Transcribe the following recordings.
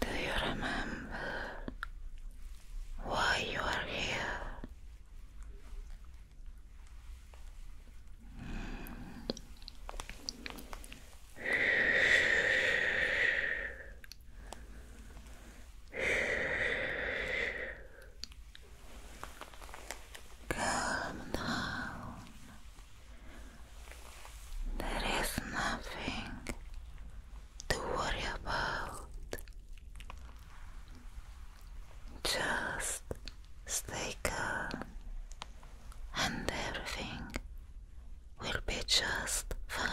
Do you remember why you are here? Calm down. There is nothing to worry about. Just stay calm, and everything will be just fine.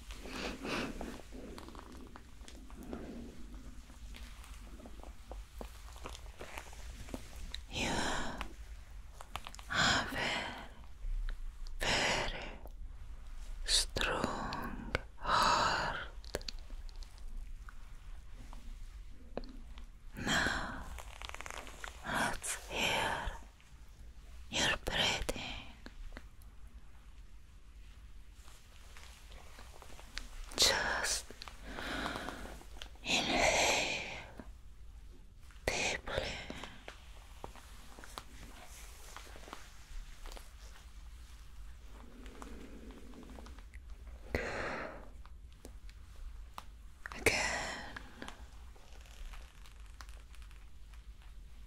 You have very, very strong heart. Now let's hear you're breathing just inhale deeply again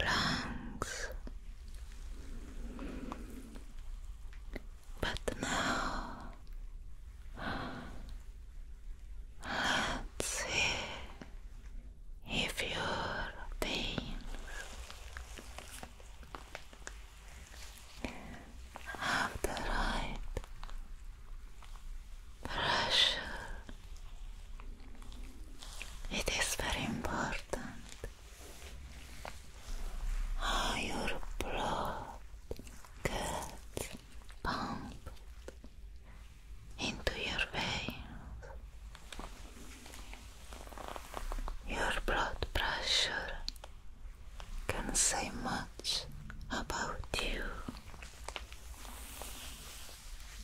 lungs. But now let's see if your veins have the right pressure. It is very important how your blood gets pumped into your veins. Your blood pressure can say much about you.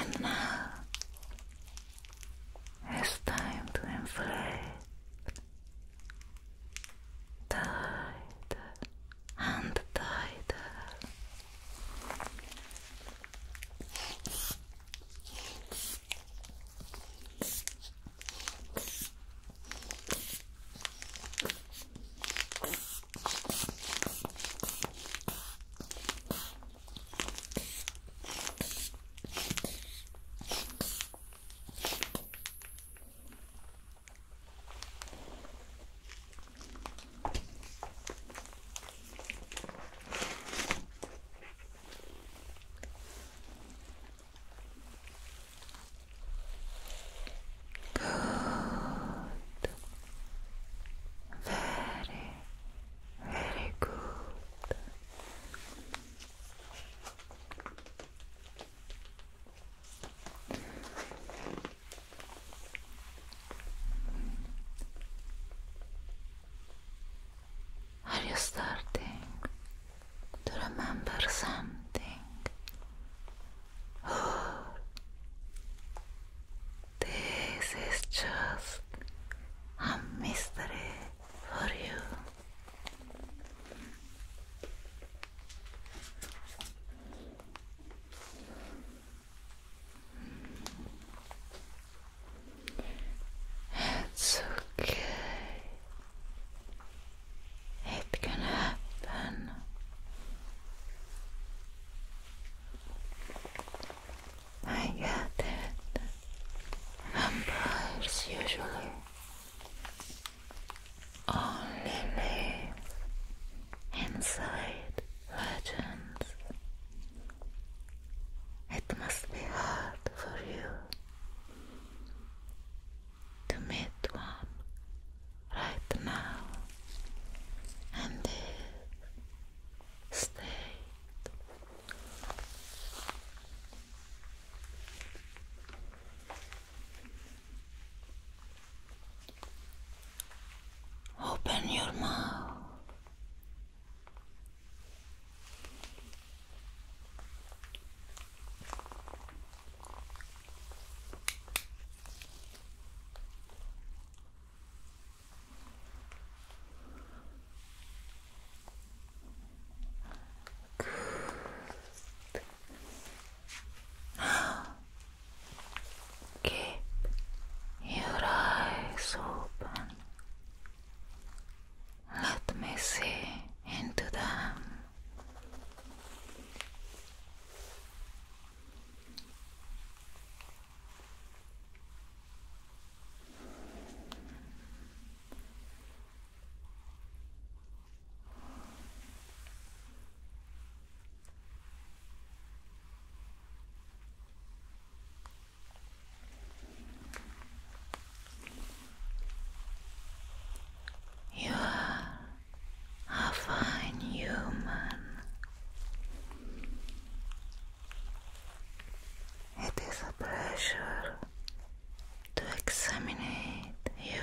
And now it's time to inflate. Tight and the Good. Very, very good. Are you starting to remember something? this is just a mystery for you. It's okay. It can happen. I get it. Vampires usually only live inside legends. It must be hard for you to meet one right now and this state. Open your mouth. Good. Keep your eyes open. Let me see into them. You are a fine human. It is a pleasure to examine you.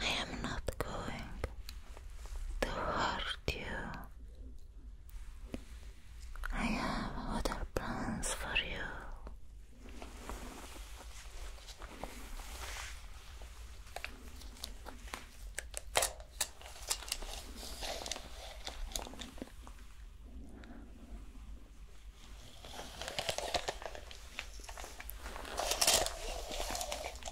I am not going to hurt you. I have other plans for you.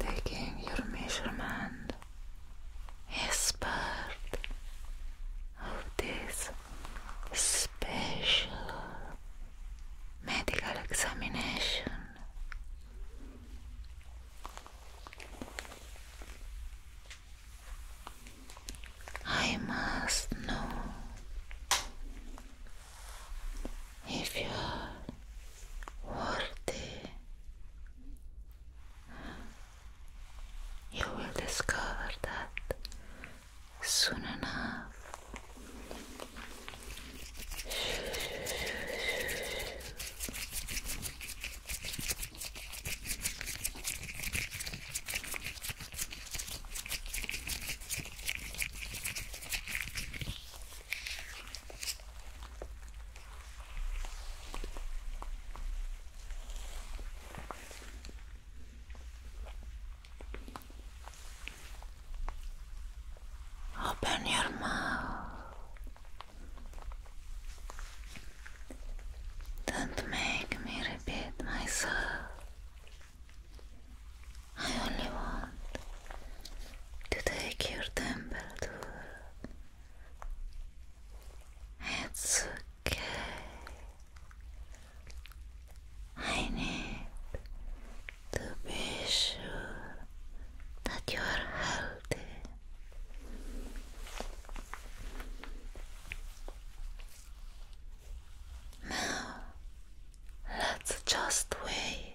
Taking your measurement is part of this special medical examination. I must know if you are worthy. You will discover that soon enough. Open your mouth. Don't make me repeat myself. I only want to take your temperature. It's okay. I need to be sure that you are healthy. Now, let's just wait.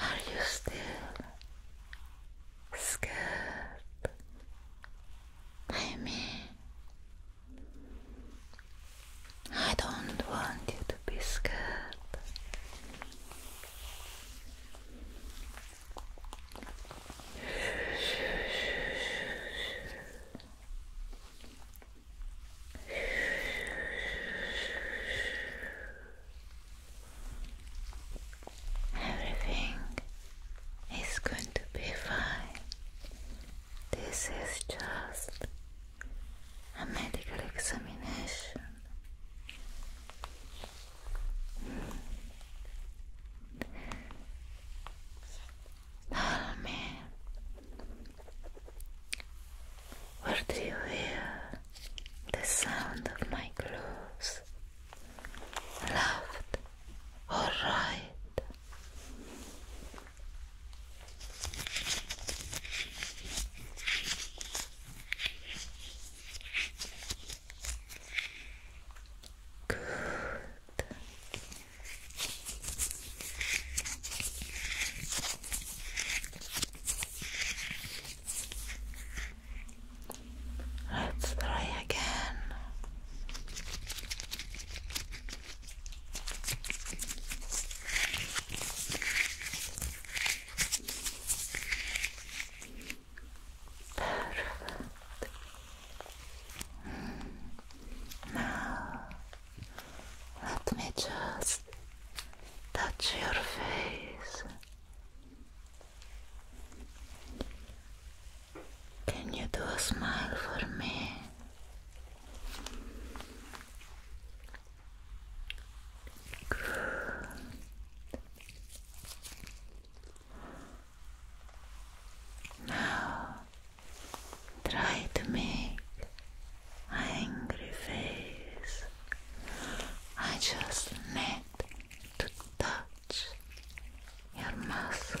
Are you still scared by I don't want you to be scared. Everything is going to be fine. This is just a medical examination. Tell me, where do you hear the sound of my clothes? Left or right? Good. Let's try again. Perfect. Hmm. Now let me just touch your face. Can you do a smile for me? Now Try to make angry face. I just need to touch your muscle.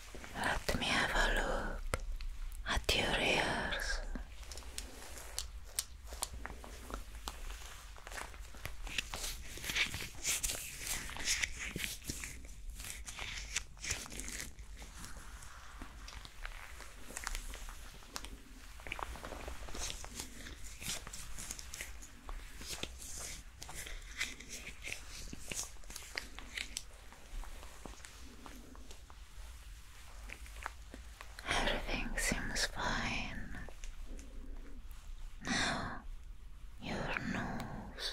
Let me have a look at your ears. Everything seems fine. Now, your nose.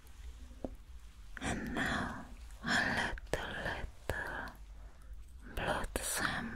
And now a little, little blood sample.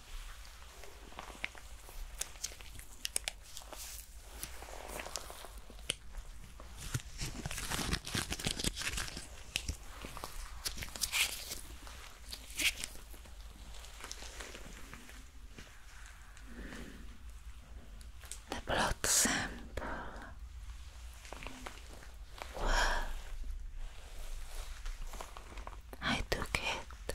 The blood sample well, I took it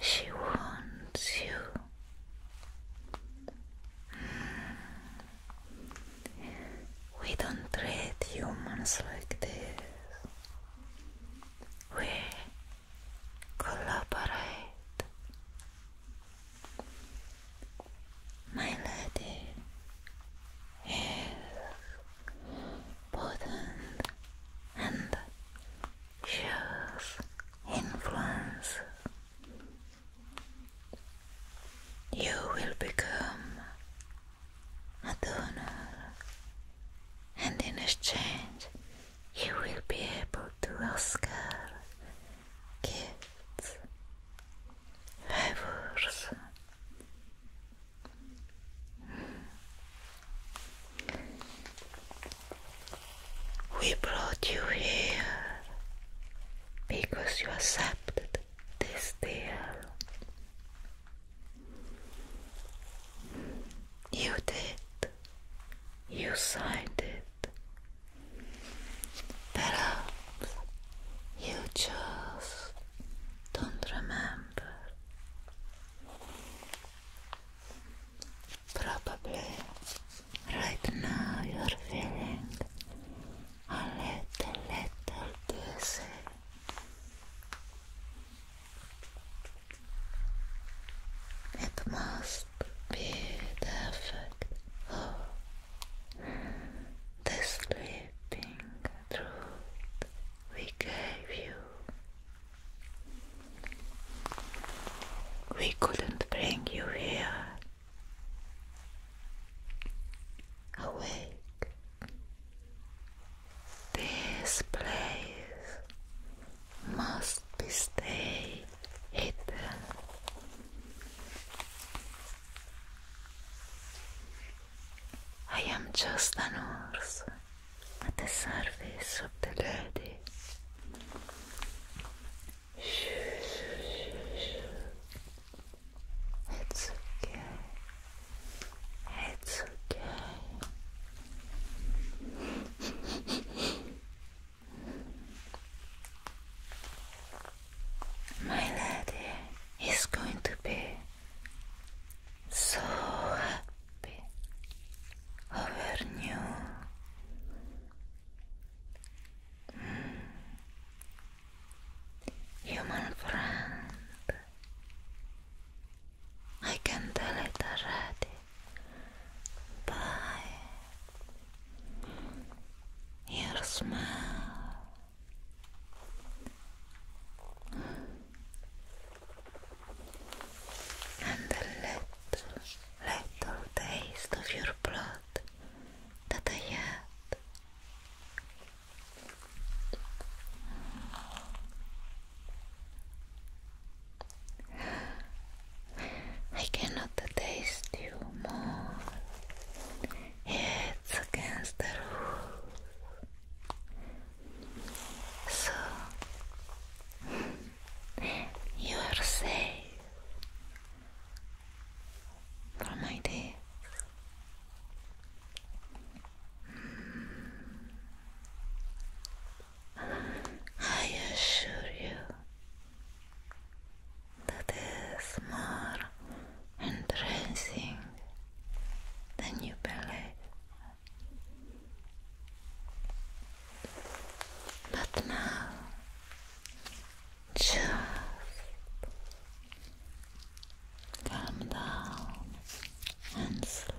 She wants you. We don't treat humans like this. We collaborate. My lady is Potent and shows influence. You will become a donor, and in exchange, you will be able to Oscar gifts, favors, we brought you here because you accepted this deal. You did. You signed it. Perhaps you just don't remember. Probably right now you're feeling a little, little dizzy. It must be the effect of the sleeping we gave you. We couldn't bring you here. Awake. This place must be stay hidden. I am just an horse at the service of the lady. It's okay. It's okay. My lady is going to be so happy over you. Mm. Human friend, I can tell it already. Bye. Your smile and the little, little taste of your blood that I had. I cannot taste you more. It's against the rules. So you are safe from my days. I assure you that is more and raising the new belief. But now just calm down and sleep.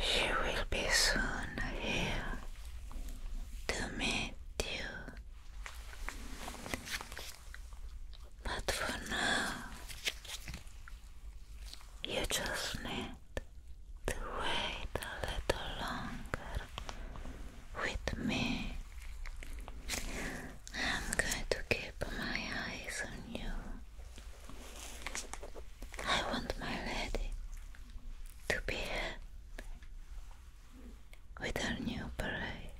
She will be soon here to meet you. But for now, you just need to wait a little longer with me. I'm going to keep my eyes on you. I want my lady to be with her new parade.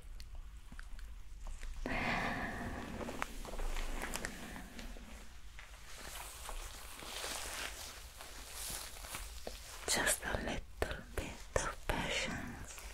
Just a little bit of patience.